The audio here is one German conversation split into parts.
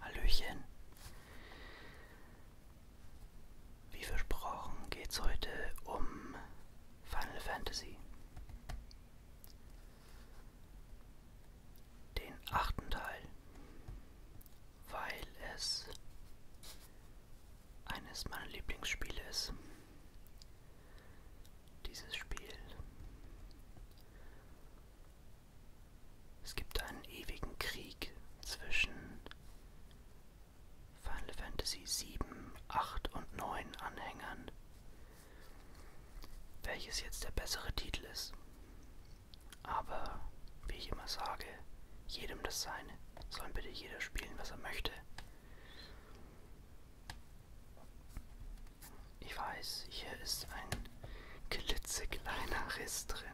Hallöchen. Wie versprochen geht's heute um Final Fantasy. Den achten Teil weil es eines meiner Lieblingsspiele ist. Dieses Spiel. Es gibt einen ewigen Krieg zwischen Final Fantasy 7, 8 und 9 Anhängern, welches jetzt der bessere Titel ist. Aber wie ich immer sage, jedem das Seine. Sollen bitte jeder spielen, was er möchte. Ich weiß, hier ist ein klitzekleiner Riss drin.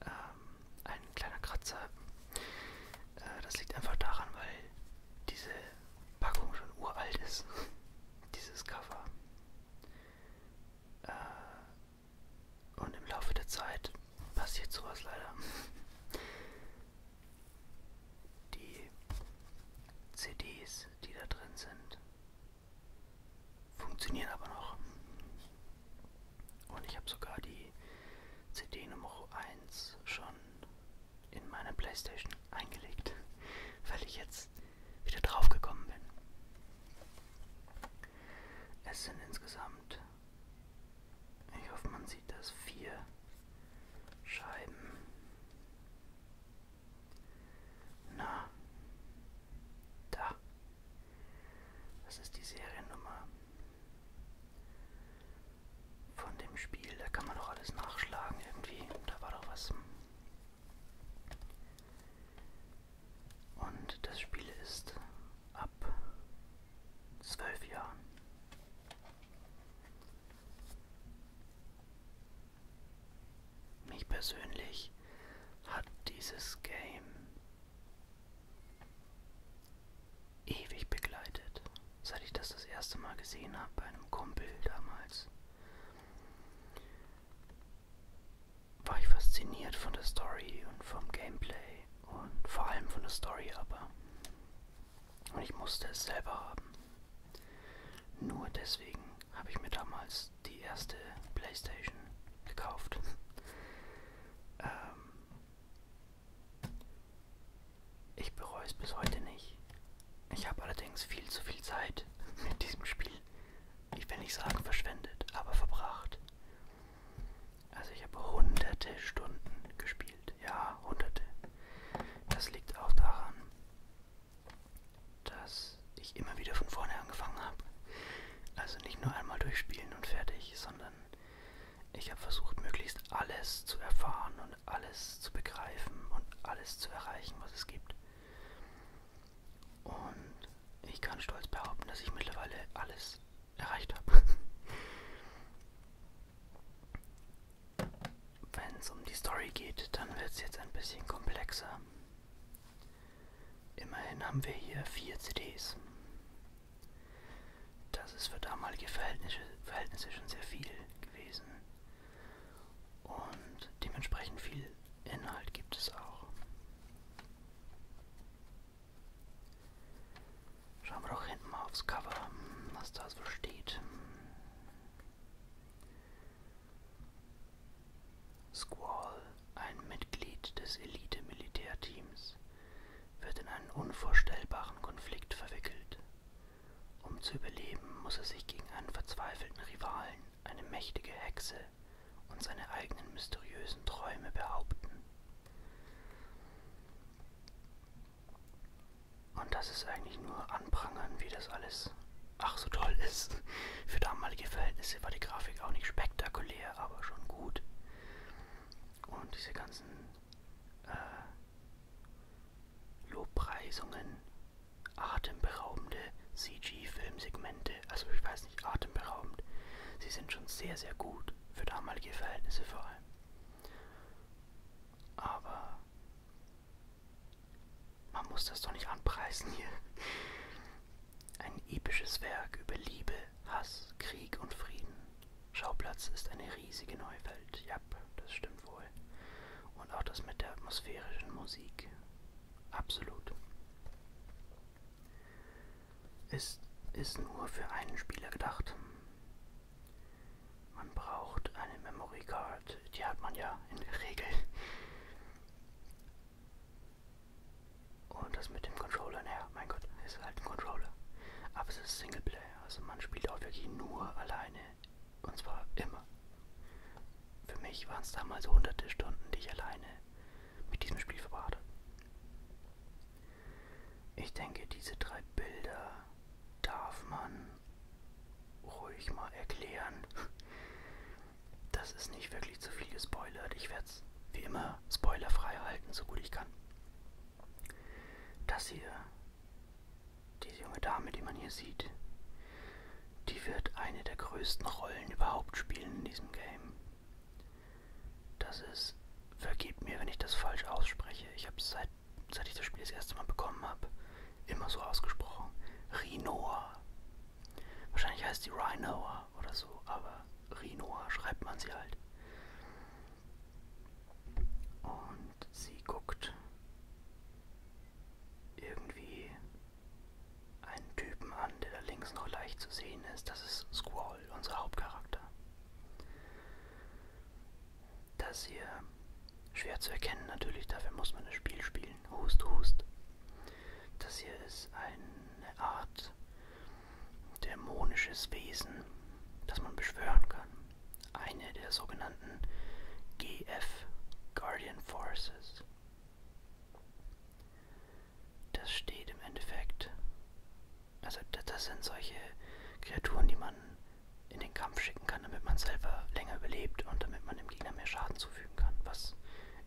Ähm, ein kleiner Kratzer. Äh, das liegt einfach daran, weil diese Packung schon uralt ist. Dieses Cover. Äh, und im Laufe der Zeit passiert sowas leider. Die CDs, die da drin sind, funktionieren aber noch. Und ich habe sogar die CD Nummer 1 schon in meine Playstation eingelegt, weil ich jetzt wieder draufgekommen bin. Es sind insgesamt, ich hoffe man sieht das, vier Scheiben. Na, da. Das ist die Seriennummer von dem Spiel. Da kann man doch alles nachschlagen irgendwie. Da war doch was. Und das Spiel ist ab zwölf Jahren. Mich persönlich hat dieses Game ewig begleitet, seit ich das das erste Mal gesehen habe bei einem Kumpel damals war ich fasziniert von der Story und vom Gameplay und vor allem von der Story aber. Und ich musste es selber haben. Nur deswegen habe ich mir damals die erste Playstation gekauft. ähm ich bereue es bis heute nicht. Ich habe allerdings viel zu viel Zeit mit diesem Spiel ich will nicht sagen verschwendet, aber verbracht. Also ich habe hunderte Stunden gespielt. Ja, hunderte. Das liegt auch daran, dass ich immer wieder von vorne angefangen habe. Also nicht nur einmal durchspielen und fertig, sondern ich habe versucht, möglichst alles zu erfahren und alles zu begreifen und alles zu erreichen, was es gibt. Und ich kann stolz behaupten, dass ich mittlerweile alles erreicht habe. Wenn es um die Story geht, dann wird es jetzt ein bisschen komplexer. Immerhin haben wir hier vier CDs. Das ist für damalige Verhältnisse, Verhältnisse schon sehr viel gewesen. Und dementsprechend viel Inhalt gibt es auch. Schauen wir doch hinten mal aufs Cover, was da so steht. Squall, ein Mitglied des Elite-Militärteams, wird in einen unvorstellbaren Konflikt verwickelt. Um zu überleben, muss er sich gegen einen verzweifelten Rivalen eine mächtige Hexe und seine eigenen mysteriösen Träume behaupten. Und das ist eigentlich nur anprangern, wie das alles ach so toll ist. Für damalige Verhältnisse war die Grafik auch nicht spektakulär, aber schon gut. Und diese ganzen äh, Lobpreisungen, atemberaubende CG-Filmsegmente, also ich weiß nicht, atemberaubend. Sie sind schon sehr, sehr gut, für damalige Verhältnisse vor allem. Aber man muss das doch nicht anpreisen hier. Ein episches Werk über Liebe, Hass, Krieg und Frieden. Schauplatz ist eine riesige Neuwelt. Ja, das stimmt wohl. Und auch das mit der atmosphärischen Musik. Absolut. Es ist nur für einen Spieler gedacht. Man braucht eine Memory Card, die hat man ja in der Regel. Und das mit dem Controller, naja, mein Gott, ist halt ein Controller. Aber es ist Singleplayer, also man spielt auch wirklich nur alleine. Und zwar immer. Für mich waren es damals hunderte Stunden, die ich alleine mit diesem Spiel verbracht habe. Ich denke, diese drei Bilder darf man ruhig mal erklären. Das ist nicht wirklich zu viel gespoilert. Ich werde es wie immer spoilerfrei halten, so gut ich kann. Das hier, diese junge Dame, die man hier sieht, die wird eine der größten Rollen überhaupt spielen in diesem Game. Das ist, vergebt mir, wenn ich das falsch ausspreche. Ich habe es seit, seit ich das Spiel das erste Mal bekommen habe, immer so ausgesprochen. Rhinoa. Wahrscheinlich heißt sie Rhinoa oder so, aber Rhinoa schreibt man sie halt. Und sie guckt irgendwie einen Typen an, der da links noch leicht zu sehen ist. Das ist Squall, unser Hauptcharakter. Das hier schwer zu erkennen natürlich, dafür muss man das Spiel spielen. Hust, hust. Das hier ist eine Art dämonisches Wesen, das man beschwören kann. Eine der sogenannten GF, Guardian Forces das steht im Endeffekt. Also das sind solche Kreaturen, die man in den Kampf schicken kann, damit man selber länger überlebt und damit man dem Gegner mehr Schaden zufügen kann, was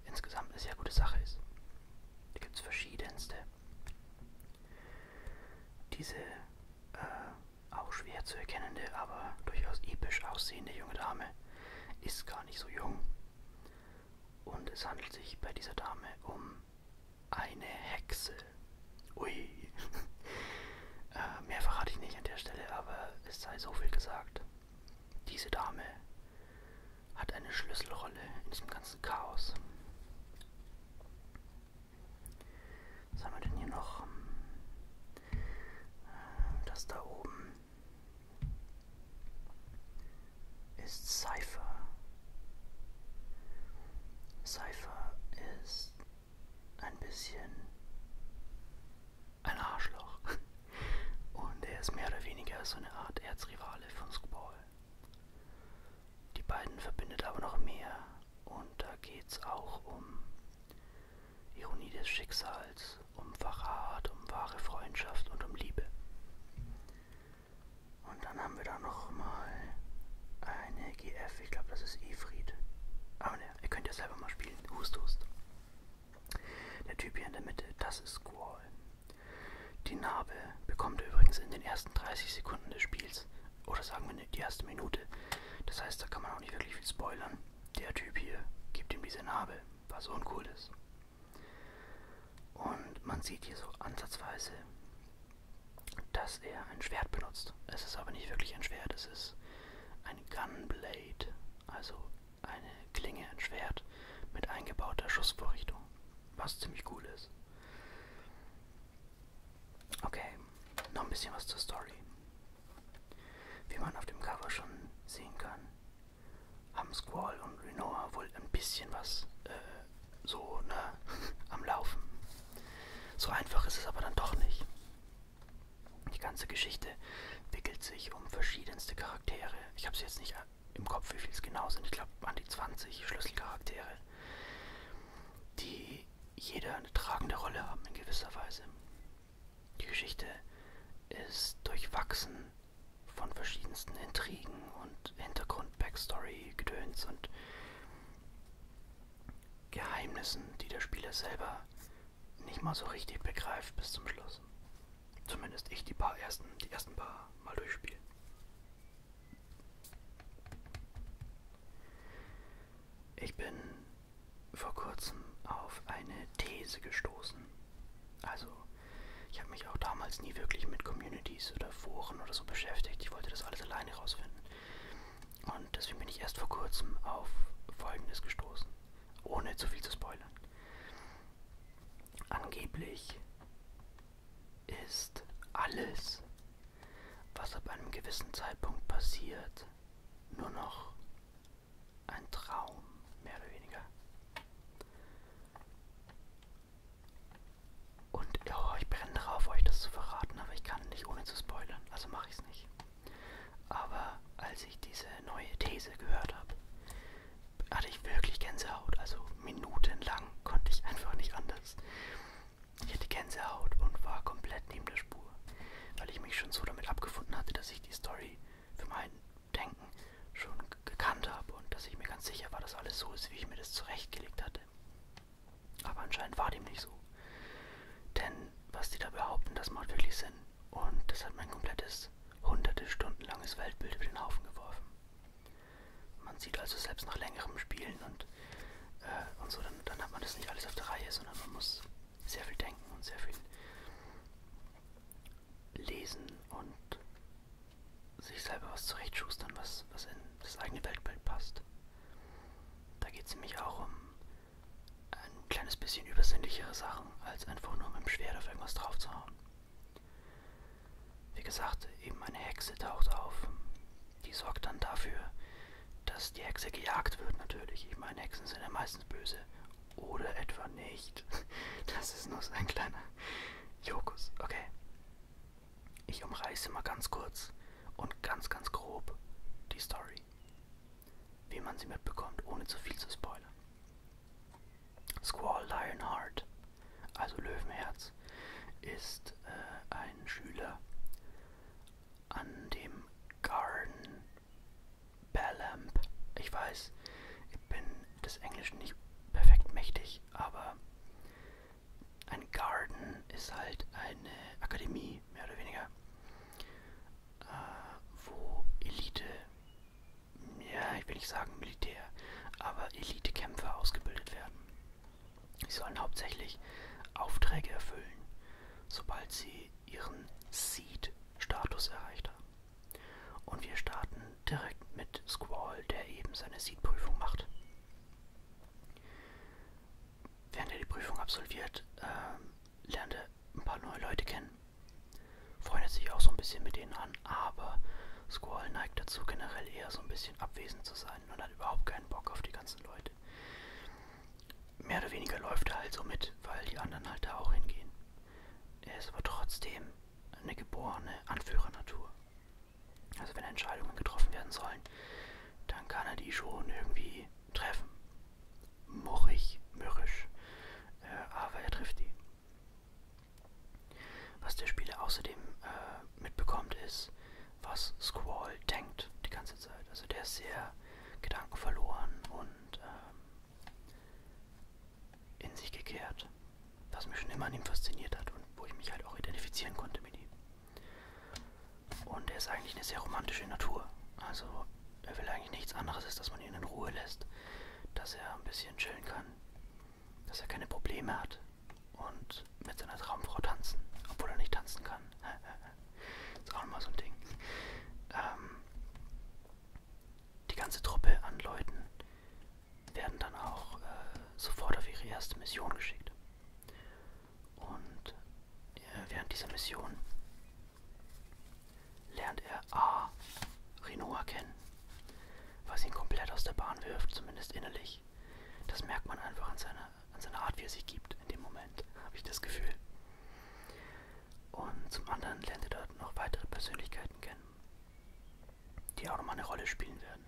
insgesamt eine sehr gute Sache ist. Da gibt es verschiedenste. Diese äh, auch schwer zu erkennende, aber durchaus episch aussehende junge Dame ist gar nicht so jung. Und es handelt sich bei dieser Dame um eine Hexe. Ui. äh, mehr verrate ich nicht an der Stelle, aber es sei so viel gesagt. Diese Dame hat eine Schlüsselrolle in diesem ganzen Chaos. Was haben wir denn hier noch? Äh, das da oben ist Cypher. Cypher ist ein bisschen ein Arschloch. Und er ist mehr oder weniger so eine Art Erzrivale von Skball. Die beiden verbindet aber noch mehr. Und da geht's auch um Ironie des Schicksals, um Verrat, um wahre Freundschaft und um Liebe. Und dann haben wir da nochmal eine GF. Ich glaube, das ist Ifrit. Aber ah, ne, ihr könnt ja selber mal spielen. Hust, hust. Der Typ hier in der Mitte, das ist Squall. Die Narbe bekommt ihr übrigens in den ersten 30 Sekunden des Spiels. Oder sagen wir ne, die erste Minute. Das heißt, da kann man auch nicht wirklich viel spoilern. Der Typ hier gibt ihm diese Narbe, was uncool ist. Und man sieht hier so ansatzweise, dass er ein Schwert benutzt. Es ist aber nicht wirklich ein Schwert, es ist ein Gunblade, also eine Klinge, ein Schwert mit eingebauter Schussvorrichtung, was ziemlich cool ist. Okay, noch ein bisschen was zur Story. Wie man auf dem Cover schon sehen kann, haben Squall und Renoa wohl ein bisschen was äh, so ne, am Laufen. So einfach ist es aber dann doch nicht. Die ganze Geschichte wickelt sich um verschiedenste Charaktere. Ich habe es jetzt nicht im Kopf, wie viel es genau sind. Ich glaube an die 20 Schlüsselcharaktere, die jeder eine tragende Rolle haben in gewisser Weise. Die Geschichte ist durchwachsen von verschiedensten Intrigen und Hintergrund-Backstory-Gedöns und Geheimnissen, die der Spieler selber nicht mal so richtig begreift bis zum Schluss. Zumindest ich die paar ersten, die ersten paar mal durchspielen. Ich bin vor kurzem auf eine These gestoßen. Also ich habe mich auch damals nie wirklich mit Communities oder Foren oder so beschäftigt. Ich wollte das alles alleine rausfinden. Und deswegen bin ich erst vor kurzem auf Folgendes gestoßen, ohne zu viel zu spoilern. Angeblich ist alles, was ab einem gewissen Zeitpunkt passiert, nur noch ein Traum, mehr oder weniger. Und oh, ich brenne darauf, euch das zu verraten, aber ich kann nicht ohne zu spoilern, also mache ich es nicht. Aber als ich diese neue These gehört habe, hatte ich wirklich Gänsehaut. Also minutenlang konnte ich einfach nicht anders. Ich hatte Gänsehaut und war komplett neben der Spur, weil ich mich schon so damit abgefunden hatte, dass ich die Story für meinen Denken schon gekannt habe und dass ich mir ganz sicher war, dass alles so ist, wie ich mir das zurechtgelegt hatte. Aber anscheinend war dem nicht so. Denn was die da behaupten, das macht wirklich Sinn. Und das hat mein komplettes, hunderte Stunden langes Weltbild über den Haufen geworfen. Man sieht also selbst nach längerem Spielen und, äh, und so, dann, dann hat man das nicht alles auf der Reihe, sondern man muss sehr viel denken und sehr viel lesen und sich selber was zurechtschustern, was, was in das eigene Weltbild passt. Da geht es nämlich auch um ein kleines bisschen übersinnlichere Sachen, als einfach nur mit dem Schwert auf irgendwas draufzuhauen. Wie gesagt, eben eine Hexe taucht auf. Die sorgt dann dafür, dass die Hexe gejagt wird natürlich. Ich meine, Hexen sind ja meistens böse. Oder etwa nicht. Das ist nur so ein kleiner Jokus, okay. Ich umreiße mal ganz kurz und ganz, ganz grob die Story. Wie man sie mitbekommt, ohne zu viel zu spoilern. Squall Lionheart, also Löwenherz, ist äh, ein Schüler an dem Garden Ballamp. Ich weiß, ich bin des Englischen nicht perfekt mächtig, aber ein Garden ist halt eine Akademie, mehr oder weniger, äh, wo Elite, ja, ich will nicht sagen Militär, aber Elitekämpfer ausgebildet werden. Sie sollen hauptsächlich Aufträge erfüllen, sobald sie ihren Seed-Status erreicht haben. Und wir starten direkt mit Squall, der eben seine Seed-Prüfung macht. Während er die Prüfung absolviert, äh, lernt er ein paar neue Leute kennen. Freundet sich auch so ein bisschen mit denen an, aber Squall neigt dazu, generell eher so ein bisschen abwesend zu sein und hat überhaupt keinen Bock auf die ganzen Leute. Mehr oder weniger läuft er halt so mit, weil die anderen halt da auch hingehen. Er ist aber trotzdem eine geborene Anführernatur. Also wenn Entscheidungen getroffen werden sollen, dann kann er die schon irgendwie treffen. Murrig, mürrisch, äh, aber er trifft die. Was der Spieler außerdem äh, mitbekommt, ist, was Squall denkt die ganze Zeit. Also der ist sehr gedankenverloren und ähm, in sich gekehrt, was mich schon immer an ihm fasziniert hat und wo ich mich halt auch identifizieren konnte mit ihm. Und er ist eigentlich eine sehr romantische Natur. Also er will eigentlich nichts anderes, als dass man ihn in Ruhe lässt, dass er ein bisschen chillen kann, dass er keine Probleme hat und mit seiner Traumfrau tanzen, obwohl er nicht tanzen kann. ist auch nochmal so ein Ding. Ähm, die ganze Truppe an Leuten werden dann auch äh, sofort auf ihre erste Mission geschickt. Und äh, während dieser Mission lernt er A. Rinoa kennen, was ihn komplett aus der Bahn wirft, zumindest innerlich. Das merkt man einfach an seiner, an seiner Art, wie er sich gibt in dem Moment, habe ich das Gefühl. Und zum anderen lernt er dort noch weitere Persönlichkeiten kennen die auch nochmal eine Rolle spielen werden.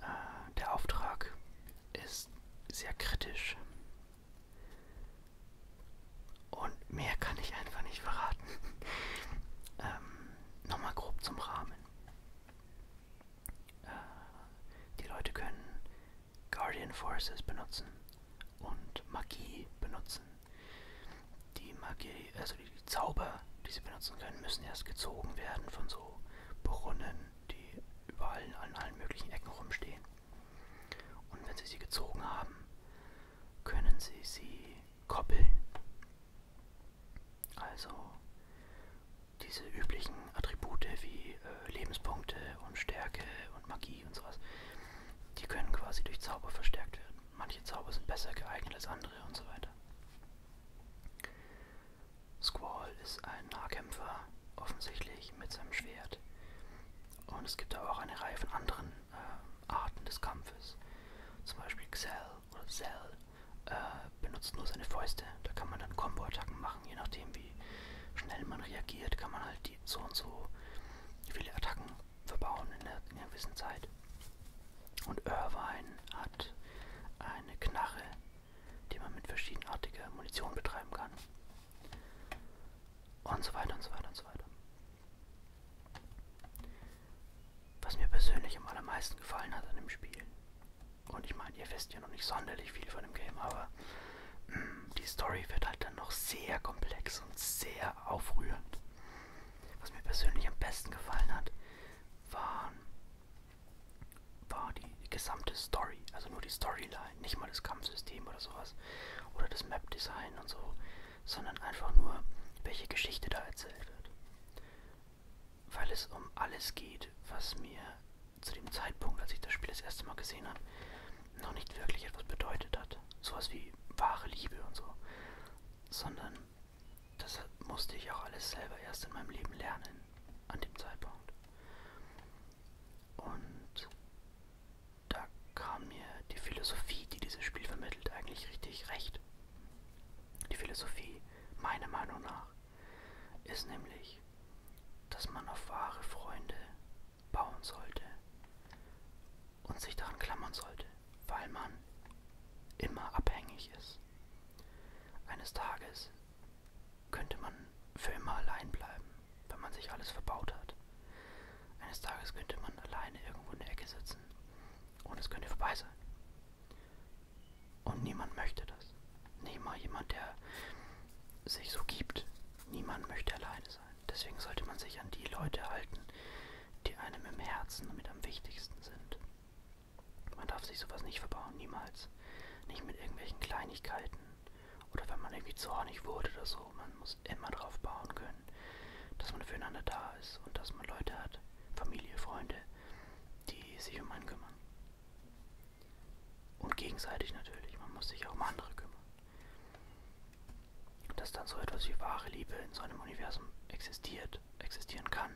Äh, der Auftrag ist sehr kritisch. Und mehr kann ich einfach nicht verraten. ähm, nochmal grob zum Rahmen. Äh, die Leute können Guardian Forces benutzen und Magie benutzen. Die Magie, also die, die Zauber, die sie benutzen können, müssen erst gezogen werden von so Brunnen, die überall an allen möglichen Ecken rumstehen. Und wenn sie sie gezogen haben, können sie sie koppeln. Also diese üblichen Attribute wie äh, Lebenspunkte und Stärke und Magie und sowas, die können quasi durch Zauber verstärkt werden manche Zauber sind besser geeignet als andere und so weiter. Squall ist ein Nahkämpfer, offensichtlich mit seinem Schwert. Und es gibt aber auch eine Reihe von anderen äh, Arten des Kampfes. Zum Beispiel Xell oder Zell äh, benutzt nur seine Fäuste. Da kann man dann Combo-Attacken machen, je nachdem wie schnell man reagiert, kann man halt die so und so viele Attacken verbauen in einer gewissen Zeit. Und Irvine hat eine Knarre, die man mit verschiedenartiger Munition betreiben kann. Und so weiter und so weiter und so weiter. Was mir persönlich am allermeisten gefallen hat an dem Spiel, und ich meine, ihr wisst ja noch nicht sonderlich viel von dem Game, aber mh, mm, die Story wird halt dann noch sehr komplex und sehr aufrührend. Was mir persönlich am besten gefallen hat, war, war die, die gesamte Story. Also nur die Storyline, nicht mal das Kampfsystem oder sowas. Oder das Map-Design und so. Sondern einfach nur, welche Geschichte da erzählt wird. Weil es um alles geht, was mir zu dem Zeitpunkt, als ich das Spiel das erste Mal gesehen habe, noch nicht wirklich etwas bedeutet hat. Sowas wie wahre Liebe und so. Sondern das musste ich auch alles selber erst in meinem Leben lernen, an dem Zeitpunkt. Und da kam mir die Philosophie, die dieses Spiel vermittelt, eigentlich richtig recht. Die Philosophie, meiner Meinung nach, ist nämlich, dass man auf wahre Freunde bauen sollte und sich daran klammern sollte, weil man immer abhängig ist. Eines Tages könnte man für immer allein bleiben, wenn man sich alles verbaut hat. Eines Tages könnte man alleine irgendwo in der Ecke sitzen und es könnte vorbei sein. Und niemand möchte das. Niemand, jemand, der sich so gibt. Niemand möchte alleine sein. Deswegen sollte man sich an die Leute halten, die einem im Herzen mit am wichtigsten sind. Man darf sich sowas nicht verbauen, niemals. Nicht mit irgendwelchen Kleinigkeiten oder wenn man irgendwie zornig wurde oder so. Man muss immer darauf bauen können, dass man füreinander da ist und dass man Leute hat, Familie, Freunde, die sich um einen kümmern. Und gegenseitig natürlich, man muss sich auch um andere kümmern. Dass dann so etwas wie wahre Liebe in so einem Universum existiert, überhaupt existieren kann,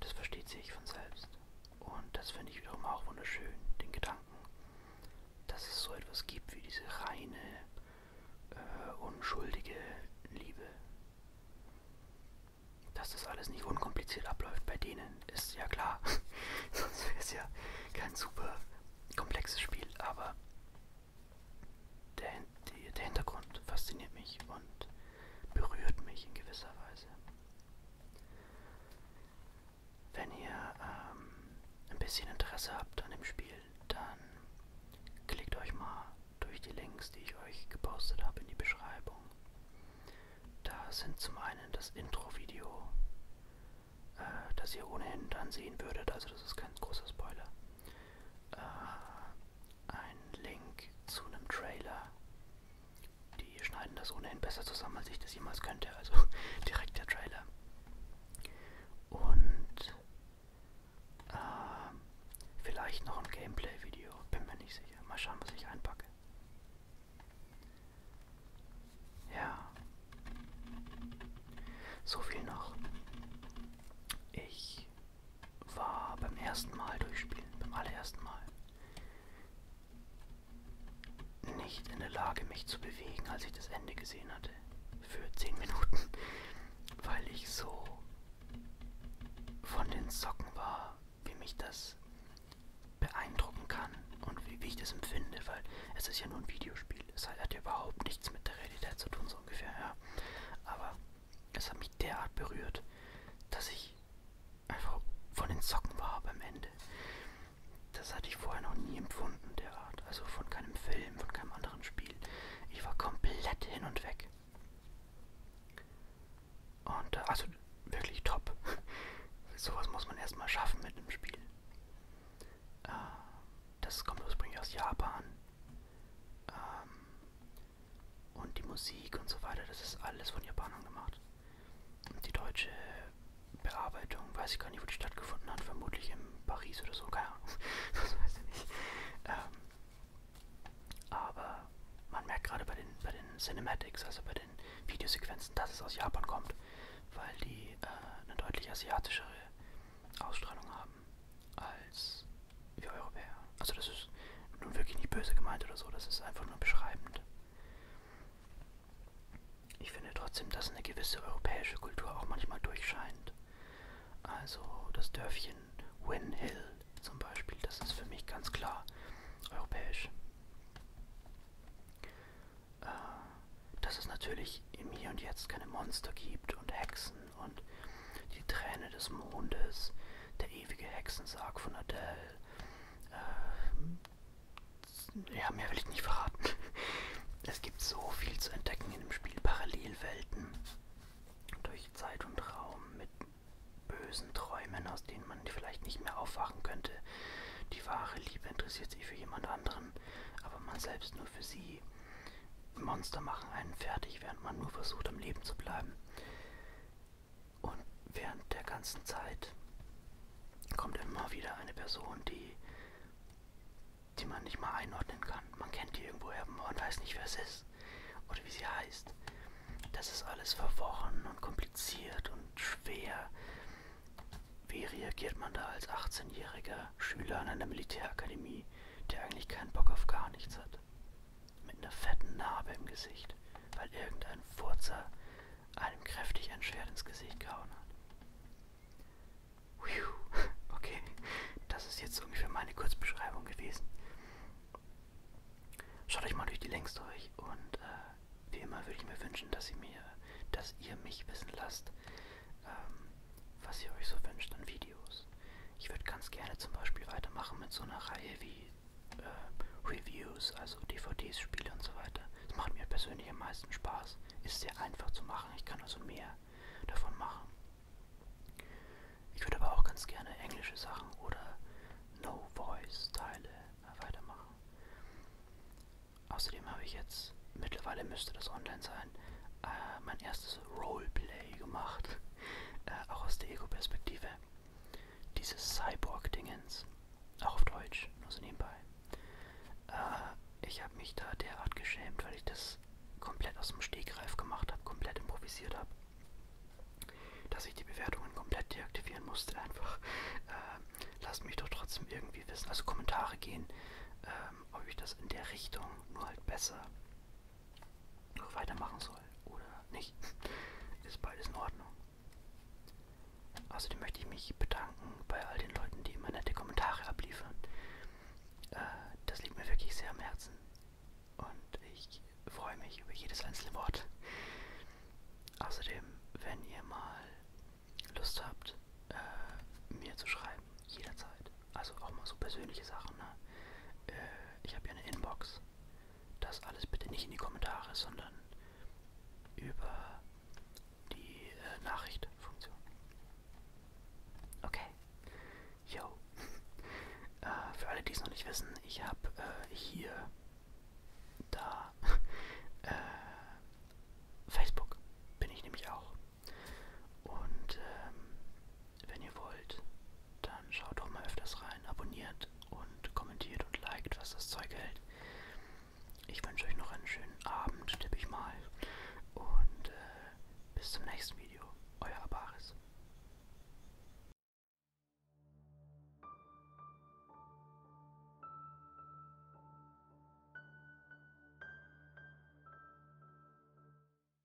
das versteht sich von selbst. Und das finde ich wiederum auch wunderschön, den Gedanken, dass es so etwas gibt wie diese reine, äh, unschuldige Liebe. Dass das alles nicht unkompliziert abläuft bei denen, ist ja klar. Sonst wäre es ja kein super komplexes Spiel, aber der, die, der Hintergrund fasziniert mich und berührt mich in gewisser Weise. Wenn ihr ähm, ein bisschen Interesse habt an dem Spiel, dann klickt euch mal durch die Links, die ich euch gepostet habe, in die Beschreibung. Da sind zum einen das Intro-Video, äh, das ihr ohnehin dann sehen würdet, also das ist kein großer Spoiler äh, einen Link zu einem Trailer. Die schneiden das ohnehin besser zusammen, als ich das jemals könnte. Also direkt der Trailer. Und äh, vielleicht noch ein Gameplay-Video. Bin mir nicht sicher. Mal schauen, was ich einpacke. Ja. So viel noch. Ich war beim ersten Mal durchspielen, beim allerersten Mal, nicht in der Lage, mich zu bewegen, als ich das Ende gesehen hatte. Für 10 Minuten. Weil ich so von den Socken war, wie mich das beeindrucken kann und wie, wie ich das empfinde, weil es ist ja nur ein Videospiel. Es hat ja überhaupt nichts mit der Realität zu tun, so ungefähr, ja. Aber es hat mich derart berührt, dass ich einfach von den Socken war beim Ende. Das hatte ich vorher noch nie empfunden, derart. Also von keinem Film, von keinem anderen Spiel. Ich war komplett hin und weg. Und äh, also wirklich top. Sowas muss man erstmal schaffen mit einem Spiel. Äh, das kommt ursprünglich aus Japan. Ähm, und die Musik und so weiter, das ist alles von Japanern gemacht. Und die deutsche Bearbeitung, weiß ich gar nicht, wo die stattgefunden hat, vermutlich in Paris oder so, keine Ahnung, das weiß ich nicht. Ähm, aber man merkt gerade bei den, bei den Cinematics, also bei den Videosequenzen, dass es aus Japan kommt, weil die äh, eine deutlich asiatischere Ausstrahlung haben als wir Europäer. Also das ist nun wirklich nicht böse gemeint oder so, das ist einfach nur beschreibend. Ich finde trotzdem, dass eine gewisse europäische Kultur auch manchmal durchscheint. Also das Dörfchen Win Hill zum Beispiel, das ist für mich ganz klar europäisch. Äh, dass es natürlich im Hier und Jetzt keine Monster gibt und Hexen und die Träne des Mondes, der ewige Hexensarg von Adele. Ähm, ja, mehr will ich nicht verraten. Es gibt so viel zu entdecken in dem Spiel. Parallelwelten durch Zeit und Raum mit bösen Träumen, aus denen man vielleicht nicht mehr aufwachen könnte. Die wahre Liebe interessiert sich für jemand anderen, aber man selbst nur für sie. Monster machen einen fertig, während man nur versucht, am Leben zu bleiben. Und während der ganzen Zeit kommt immer wieder eine Person, die, die man nicht mal einordnen kann. Man kennt die irgendwoher, man weiß nicht, wer es ist oder wie sie heißt. Das ist alles verworren und kompliziert und schwer. Wie reagiert man da als 18-jähriger Schüler an einer Militärakademie, der eigentlich keinen Bock auf gar nichts hat? ist. Mit einer fetten Narbe im Gesicht, weil irgendein Furzer einem kräftig ein Schwert ins Gesicht gehauen hat. Okay, das ist jetzt ungefähr meine Kurzbeschreibung gewesen. Schaut euch mal durch die Links durch und äh, wie immer würde ich mir wünschen, dass ihr, mir, dass ihr mich wissen lasst, ähm, was ihr euch so wünscht an Videos. Ich würde ganz gerne zum Beispiel weitermachen mit so einer Reihe wie äh, Reviews, also DVDs, Spiele und so weiter. Das macht mir persönlich am meisten Spaß. Ist sehr einfach zu machen. Ich kann also mehr davon machen. Ich würde aber auch ganz gerne englische Sachen oder No-Voice-Teile äh, weitermachen. Außerdem habe ich jetzt, mittlerweile müsste das online sein, äh, mein erstes Roleplay gemacht, äh, auch aus der Ego-Perspektive. Dieses Cyborg-Dingens, auch auf Deutsch, nur so nebenbei. Äh, ich habe mich da derart geschämt, weil ich das komplett aus dem Stegreif gemacht habe, komplett improvisiert habe, dass ich die Bewertungen komplett deaktivieren musste. Einfach äh, lasst mich doch trotzdem irgendwie wissen, also Kommentare gehen, ähm, ob ich das in der Richtung nur halt besser weitermachen soll oder nicht. Ist beides in Ordnung. Außerdem möchte ich mich bedanken bei all den Leuten, die immer nette Kommentare abliefern. Äh, das liegt mir wirklich sehr am Herzen. Und ich freue mich über jedes einzelne Wort. Außerdem, wenn ihr mal Lust habt, äh, mir zu schreiben, jederzeit. Also auch mal so persönliche Sachen. Ne? Äh, ich habe ja eine Inbox. Das alles bitte nicht in die Kommentare, sondern über die äh, Nachricht-Funktion. Okay. Yo. äh, für alle, die es noch nicht wissen, ich habe äh, hier, da, äh, Facebook bin ich nämlich auch. Und ähm, wenn ihr wollt, dann schaut doch mal öfters rein, abonniert und kommentiert und liked, was das Zeug hält. Ich wünsche euch noch einen schönen Abend, tippe ich mal. Und äh, bis zum nächsten Video. Euer Abaris.